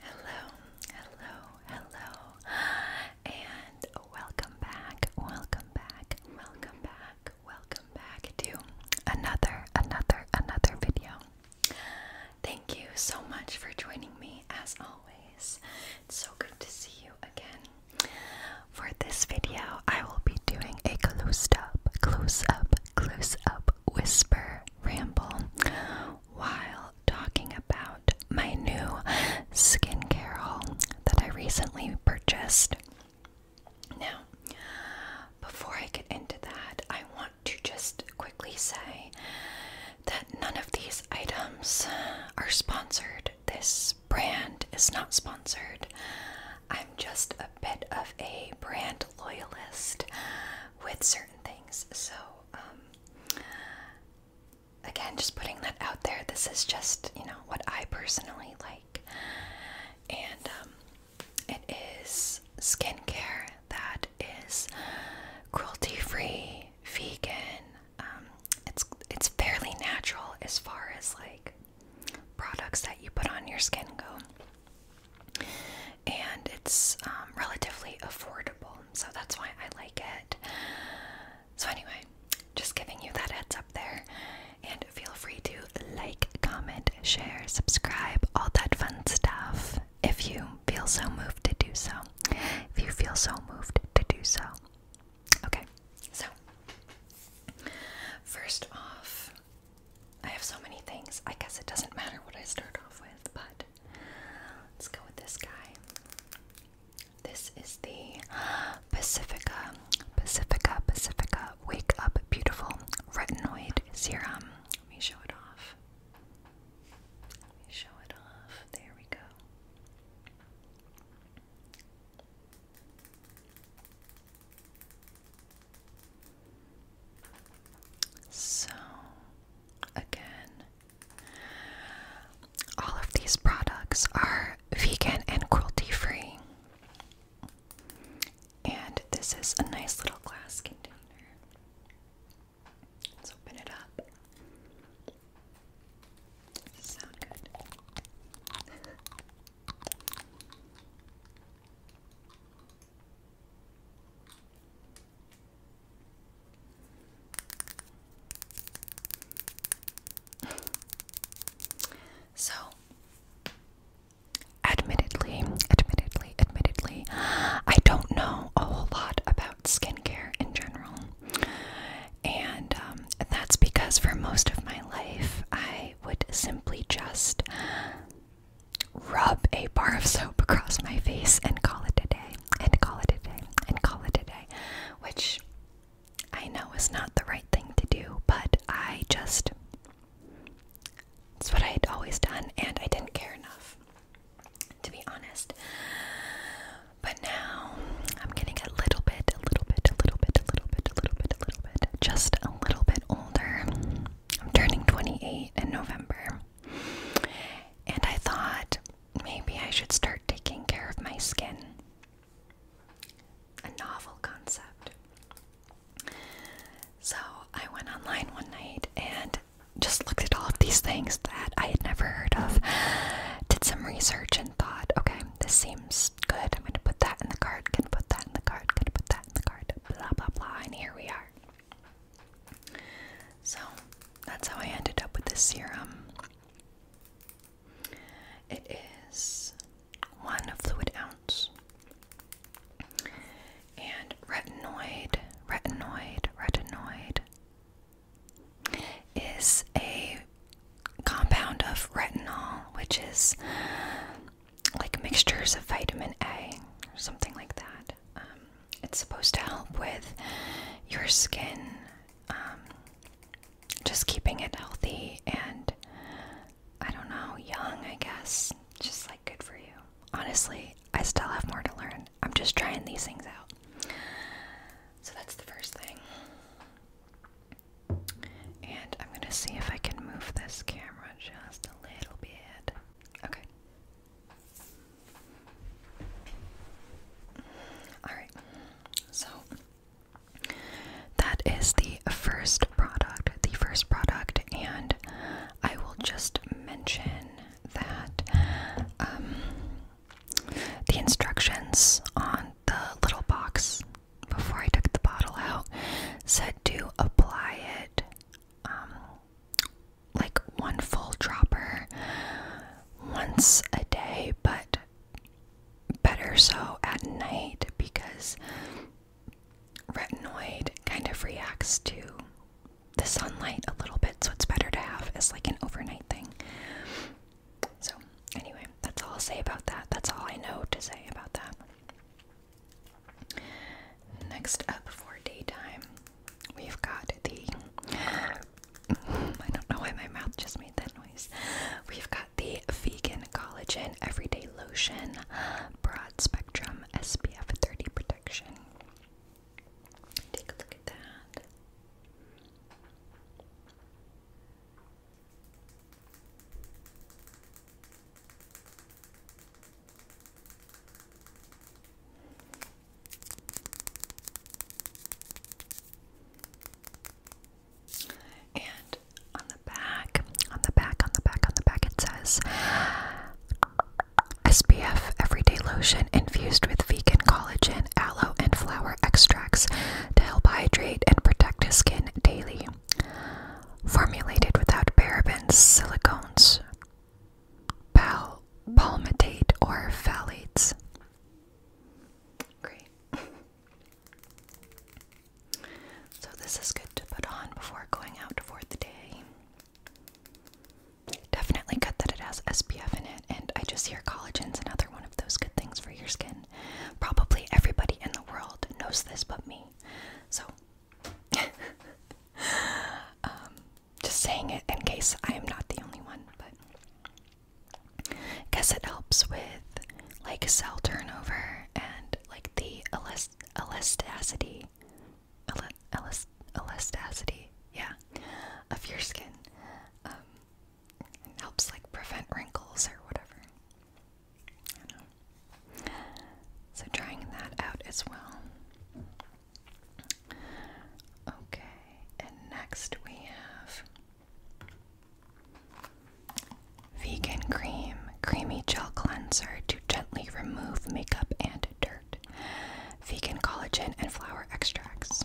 Hello, hello, hello, and welcome back, welcome back, welcome back, welcome back to another, another, another video. Thank you so much for joining me as always. It's so good to see you again. For this video, I will be doing a close up, close up, close up whisper ramble while talking about my new skincare haul that I recently purchased. Now, before I get into that, I want to just quickly say that none of these items are sponsored. This brand is not sponsored. I'm just a bit of a brand loyalist with certain things. So, um, again, just putting that out there. This is just, you know, what I personally like. And um, it is skincare that is cruelty free, vegan. Um, it's it's fairly natural as far as like products that you put on your skin go. And it's um, relatively affordable, so that's why I like it. So, anyway, just giving you that heads up there. And feel free to like, comment, share, subscribe, all that fun stuff if you feel so moved to do so. If you feel so moved to do so. Okay, so first off, I have so many things. I guess it doesn't matter what I start off with, but let's go with this guy. This is the Pacifica, Pacifica, Pacifica Wake Up Beautiful Retinoid Serum. Let me show it off. Let me show it off. There we go. So, again, all of these products are vegan and cruelty free. And this is a nice little glass container. Let's open it up. Sound good? so admittedly, admittedly, admittedly, I don't know a whole lot about skincare in general. And um, that's because for most of my life, I I would simply just rub a bar of soap across my face and call it a day, and call it a day, and call it a day, which I know is not the right thing to do, but I just. It's what I had always done, and I didn't care enough, to be honest. But now I'm getting a little bit, a little bit, a little bit, a little bit, a little bit, a little bit, just a little bit older. I'm turning 28 in November. And I thought maybe I should start taking care of my skin. A novel concept. So I went online one night and just looked at all of these things that I had never heard of, did some research, and thought, okay, um, this seems good. I'm gonna put that in the card, gonna put that in the card, gonna put that in the card, blah blah blah, and here we are. So that's how I ended up with this serum. It is one fluid ounce. And retinoid, retinoid, retinoid is a compound of retinol, which is like mixtures of vitamin A or something like that. Um, it's supposed to help with your skin, um, just keeping it healthy and I don't know, young, I guess. Just like good for you. Honestly, I still have more to learn. I'm just trying these things out. So that's the first thing. And I'm gonna see if I can move this camera just a little bit. Okay. Alright, so that is the first product. The first product, and I will just mention that um, the instructions on the little box before I took the bottle out said to apply it um, like one full dropper once a day, but better so at night because retinoid kind of reacts to the sunlight a little bit, so it's better to have as like an overnight thing. So, anyway, that's all I'll say about that. That's all I know to say about that. Next up for daytime, we've got the. I don't know why my mouth just made that noise. We've got the Vegan Collagen Everyday Lotion Broad Spectrum SPF 30 Protection. Take a look at that. And on the back, on the back, on the back, on the back, it says SPF Everyday Lotion infused with vegan collagen, aloe, and flower extracts to help hydrate and protect his skin daily. Formulated without parabens, silicones, pal palmitate, or phthalates. Great. so, this is good to put on before going out for the day. Definitely good that it has SPF in it, and I just hear collagen's another one those good things for your skin. Probably everybody in the world knows this but me. So, um, just saying it in case I am not the only one, but because it helps with like cell turnover and like the elasticity, elasticity, yeah, of your skin. Um, it helps like prevent wrinkles or whatever. So trying that out as well. Okay, and next we have Vegan Cream Creamy Gel Cleanser to gently remove makeup and dirt. Vegan collagen and flower extracts.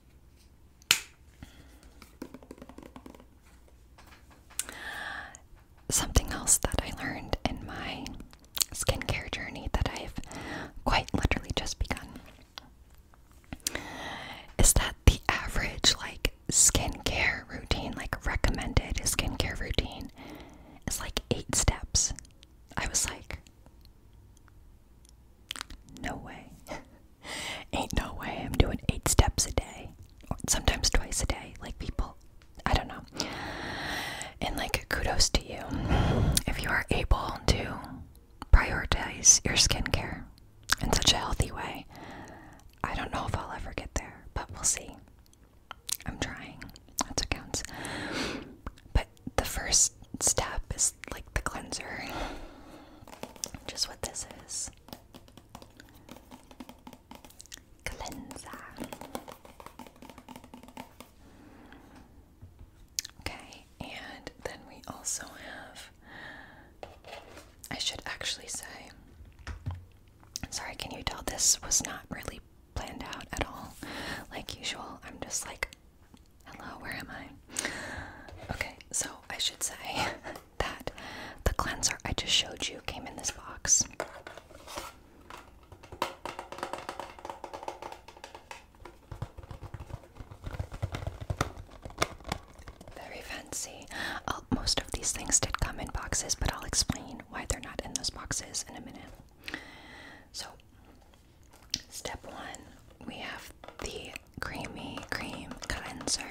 Something else that I learned in my skincare journey that I've quite literally just begun is that the average like skincare routine, like recommended skincare routine, is like eight steps. I was like, no way. Ain't no way I'm doing eight steps a day. Or sometimes twice a day. Like people, I don't know. And like, kudos to you if you are able to prioritize your skincare in such a healthy way. I don't know if I'll ever get there, but we'll see. I'm trying. That's what counts. But the first step is like the cleanser just what this is. Cleanser. Okay, and then we also have. I should actually say. Sorry, can you tell this was not really planned out at all? Like usual, I'm just like Hello, where am I? Okay, so I should say that the cleanser I just showed you came in this box. Very fancy. Oh, most of these things did come in boxes, but I'll explain why they're not in those boxes in a minute. So, step one, we have the creamy cream cleanser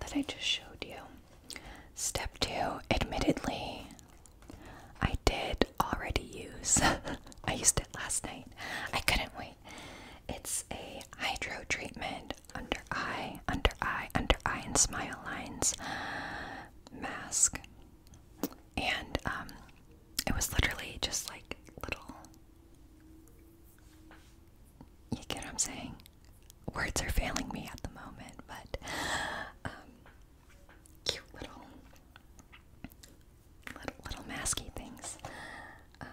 that I just showed you. Step two, admittedly, I did already use, I used it last night. I couldn't wait. It's a hydro treatment under eye, under eye, under eye, and smile lines mask. And um, it was literally just like little you get what I'm saying? Words are failing me at the moment, but um, cute little, little, little masky things. Um,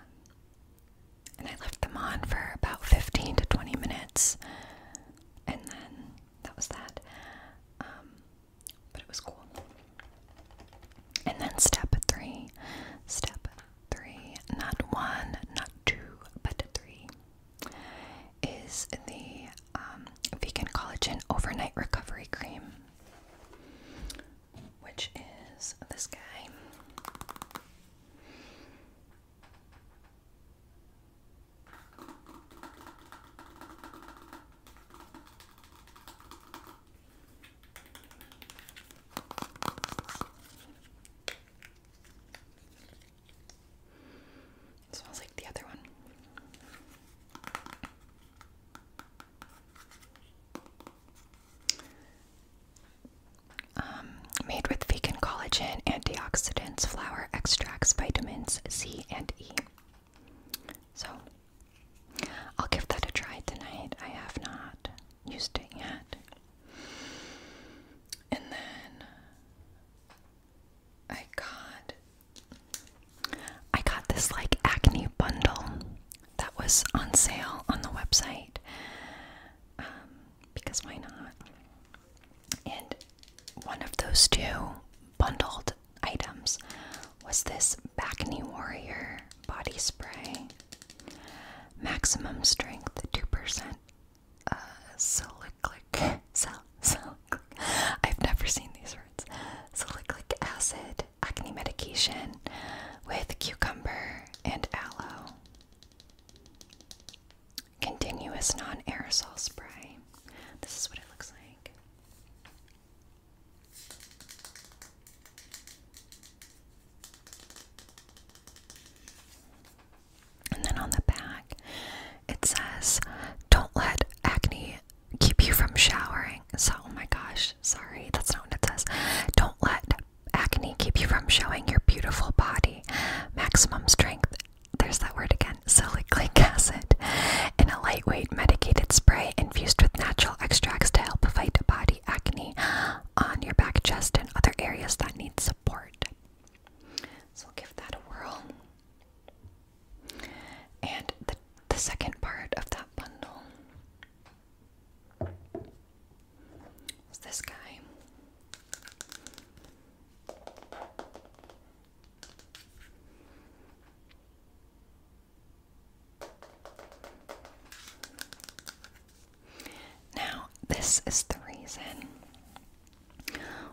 and I left them on for about 15 to 20 minutes, and then that was that. Um, but it was cool. And then step three, step three, not one, not two, but three, is the um, vegan collagen overnight recovery cream, which is this guy. It smells like the other one. Um, made with vegan collagen, antioxidants, flower extracts, vitamins C and E. So I'll give that a try tonight. I have not used it yet. And then I got I got this like acne bundle that was on sale on the website. Um, because why not? And one of those two bundled items was this Bacne Warrior body spray. Maximum strength 2%. Uh, salicylic. Sal, sal, I've never seen these words. Salicylic acid acne medication with cucumber and aloe. Continuous non aerosol spray. This is what it looks like. And then on the back, it says, Don't let acne keep you from showering. So, oh my gosh, sorry, that's not what it says. Don't let acne keep you from showing your beautiful body. Maximum strength, there's that word again, silic acid, in a lightweight medicated spray infused with natural extracts to help fight body acne on your back, chest, and other areas that need support. So give that a whirl. And the, the second part of that bundle is this guy. Now, this is the reason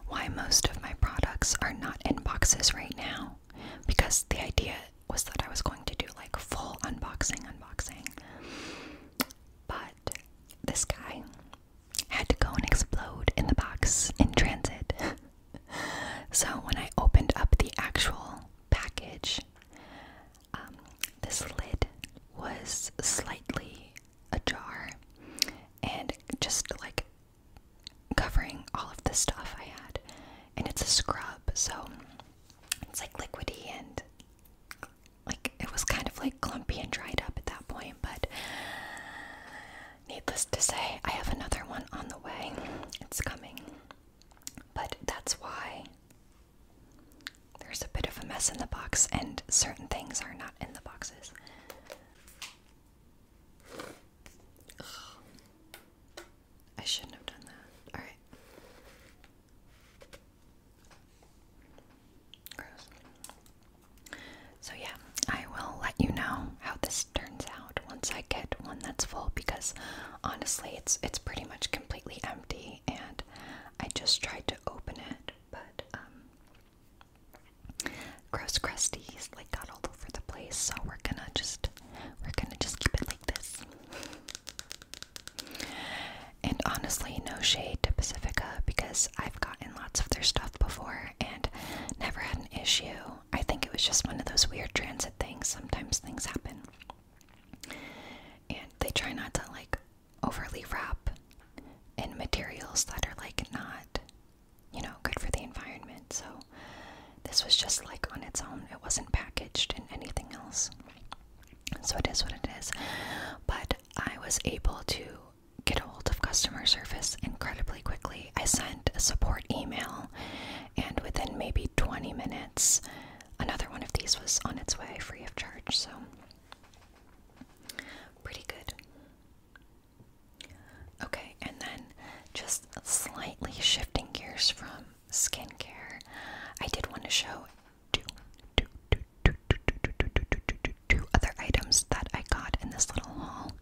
why most of my products are not in boxes right now because the idea was that I was going to do like full unboxing, unboxing. But this guy had to go and explode in the box in transit. so when I opened up the actual package, um, this lid was slightly ajar and just like covering all of the stuff I had. And it's a scrub, so it's like liquidy and like it was kind of like clumpy and dried up at that point. But needless to say, I have another one on the way. It's coming. But that's why there's a bit of a mess in the box, and certain things are not in the boxes. I shouldn't have done that. Alright. Gross. So, yeah, I will let you know how this turns out once I get one that's full because honestly it's it's pretty much completely empty and I just tried to open it but um gross crusties like got all over the place so we're gonna just we're gonna just keep it like this and honestly no shade to Pacifica because I've gotten lots of their stuff before and never had an issue I think it was just one of those weird transit things. Sometimes things happen. And they try not to like overly wrap in materials that are like not, you know, good for the environment. So this was just like on its own. It wasn't packaged in anything else. So it is what it is. But I was able to get a hold of customer service incredibly quickly. I sent a support email and within maybe 20 minutes, another one of these was on its way free of charge. So, pretty good. Okay, and then just slightly shifting gears from skincare, I did want to show two, two, two, two, two, two, two, two, two, two, two other items that I got in this little haul.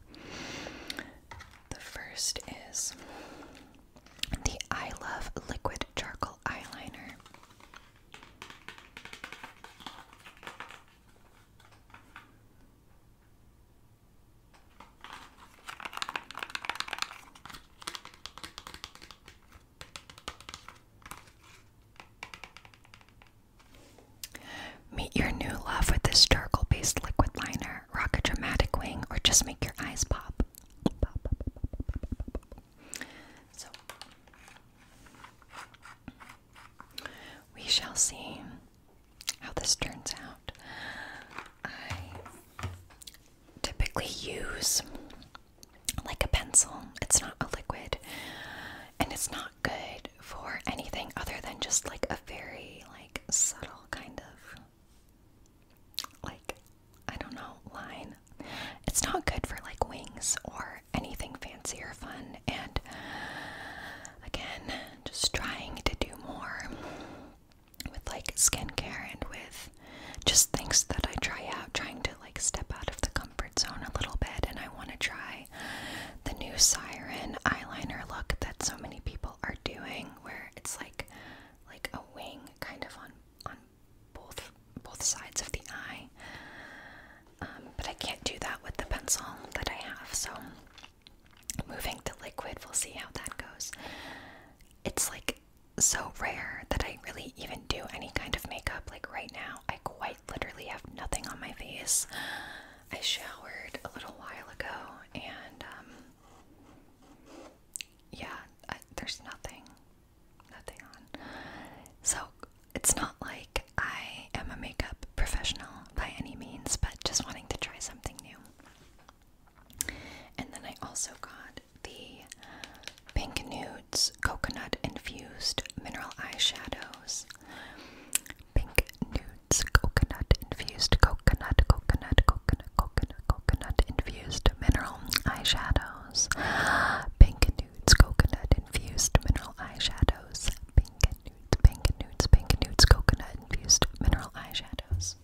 The first is the I Love Liquid Charcoal Eyeliner. Meet your new love with this charcoal based liquid liner. Rock a dramatic wing or just make your eyes pop. So, we shall see how this turns out. I typically use like a pencil, it's not a liquid, and it's not good for anything other than just like a very like subtle kind of like I don't know line. It's not good for like wings or anything fancy or fun. And again, just trying to do more with like skincare and with just things that I try out, trying to like step out of the comfort zone a little bit. And I want to try the new Siren eyeliner look that so many people are doing where it's like like a wing kind of on on both both sides of the eye um, but I can't do that with the pencil that I have so moving the liquid we'll see how that goes it's like so rare that I really even do any kind of makeup like right now I quite literally have nothing on my face I showered a little while ago and um, yeah, there's nothing, nothing on. So it's not like I am a makeup professional by any means, but just wanting to try something new. And then I also got the Pink Nudes Coconut Infused Mineral Eyeshadows. Pink nudes, coconut infused, coconut, coconut, coconut, coconut, coconut infused mineral eyeshadows. Pink nudes, coconut infused mineral eyeshadows. Pink nudes, pink nudes, pink nudes, coconut infused mineral eyeshadows.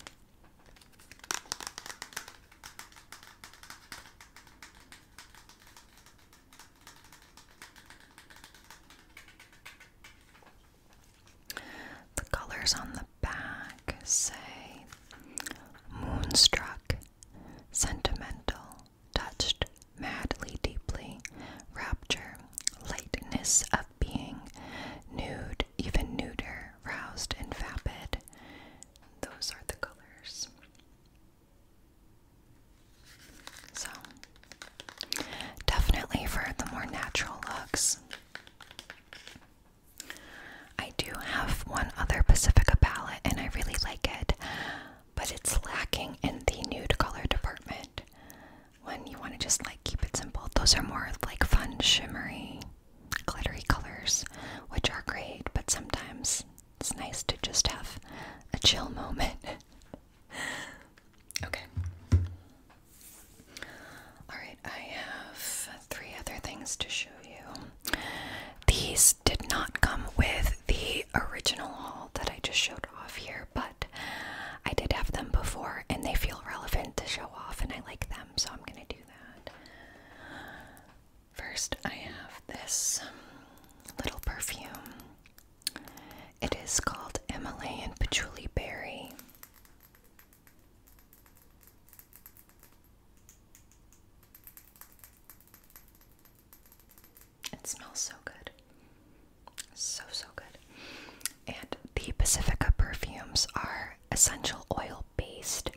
The colors on the back say moonstruck, sentimental, touched madly deeply, rapture, lightness of being, nude, even nuder, roused and vapid. Those are the colors. So, definitely for the more natural looks. I do have one other Pacifica palette and I really like it, but it's lacking in the nude color department. When you want to just like keep it simple, those are more like fun, shimmery, glittery colors, which are great, but sometimes it's nice to just have a chill moment okay. Alright, I have three other things to show you. These did not come with the original haul that I just showed off here, but I did have them before and they feel relevant to show off, and I like them, so I'm gonna do that. First, I have this um, little perfume. It is called and Patchouli Berry. It smells so good. So, so good. And the Pacifica perfumes are essential oil based,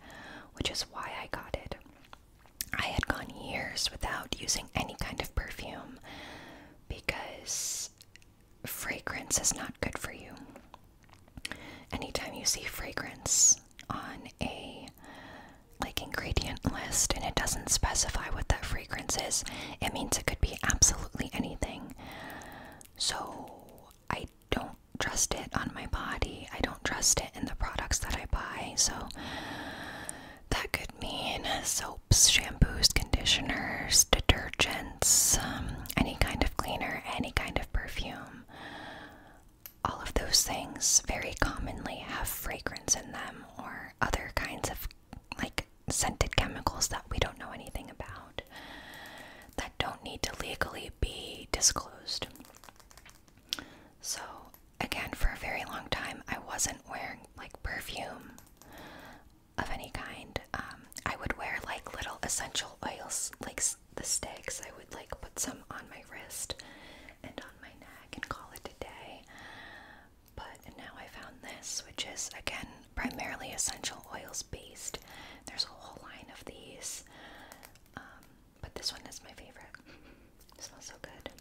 which is why I got it. I had gone years without using any kind of perfume, because fragrance is not good for you. Anytime you see fragrance on a like ingredient list and it doesn't specify what that fragrance is, it means it could be absolutely anything. So I don't trust it on my body. I don't trust it in the products that I buy. So that could mean soaps, shampoos, conditioners, detergents, um, any kind of cleaner, any kind of perfume. All of those things very commonly have fragrance in them or other kinds of like scented chemicals that we don't know anything about that don't need to legally be disclosed. So, again, for a very long time, I wasn't wearing like perfume of any kind. Um, I would wear like little essential oils, like the sticks. I would like put some on my wrist and on my neck and call it a day. But now I found this, which is again primarily essential oils based. There's a whole line of these, um, but this one is my favorite. It smells so good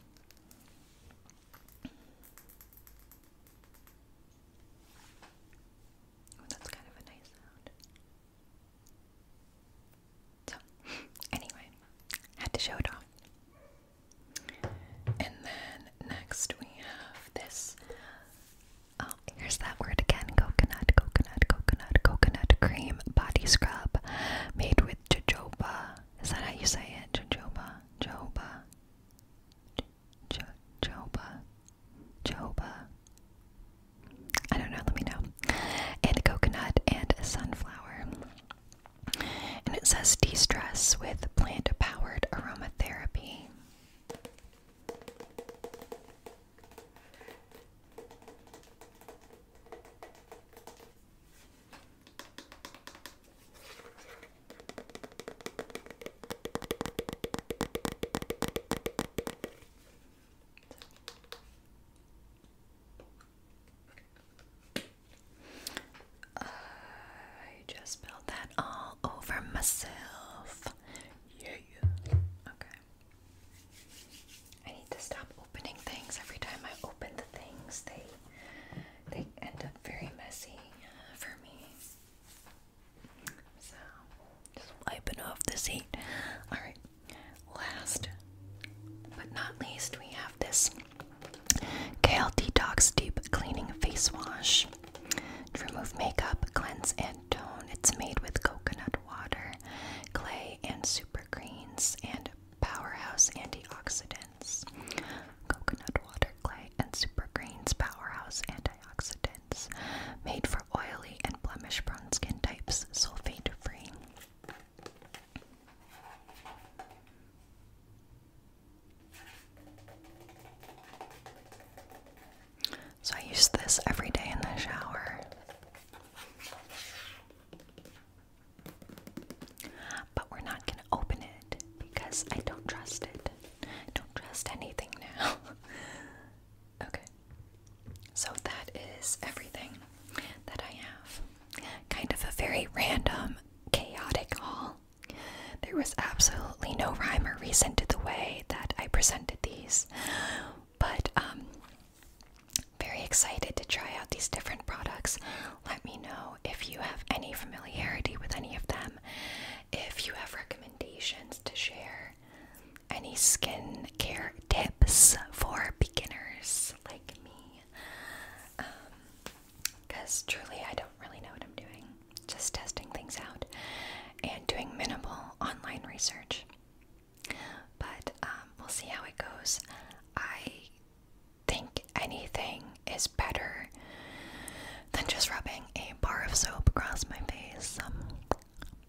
that's kind of a nice sound. So, anyway, had to show it off. And then next we have this. Oh, here's that word again coconut, coconut, coconut, coconut cream body scrub made with jojoba. Is that how you say it? Jojoba, jojoba, J Joba, Joba. I don't know. Let me know. And coconut and sunflower. And it says de-stress with plant-powered aromatherapy. I just spilled that all over myself. Yeah, Okay. I need to stop opening things. Every time I open the things, they they end up very messy uh, for me. So, wiping off the seat. Alright, last but not least, we have this Kale Detox Deep Cleaning Face Wash to remove makeup, cleanse, and tone. It's made with coconut water, clay, and super greens, and powerhouse antioxidants. Coconut water, clay, and supergreens powerhouse antioxidants. Made for oily and blemish prone skin types, sulfate free. So I use this every day in the shower. But we're not going to open it because I don't trust it. I don't trust anything now. okay. So that is everything that I have. Kind of a very random, chaotic haul. There was absolutely no rhyme or reason to the way that I presented these, but um, very excited to try out these different products. Let me know if you have any familiarity with any of them, if you have recommendations to share, any skincare tips for beginners like me. Because um, truly, I don't really know what I'm doing, just testing things out and doing minimal online research. But um, we'll see how it goes. I think anything is better than just rubbing a bar of soap across my face. Um,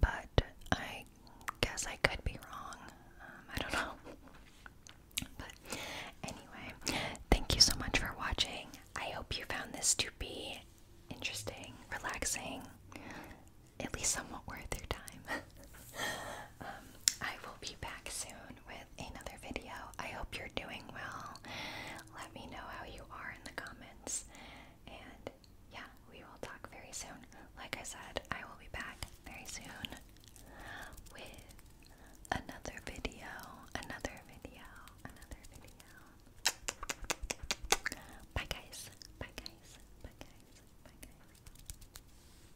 but I guess I could be wrong. Um, I don't know. But anyway, thank you so much for watching. I hope you found this to be interesting, relaxing, at least somewhat worth your time. Um, I will be back soon with another video. I hope you're doing well. Let me know how you are in the comments. And yeah, we will talk very soon. Like I said, I will be back very soon with another video. Another video. Another video. Bye guys. Bye guys. Bye guys. Bye guys.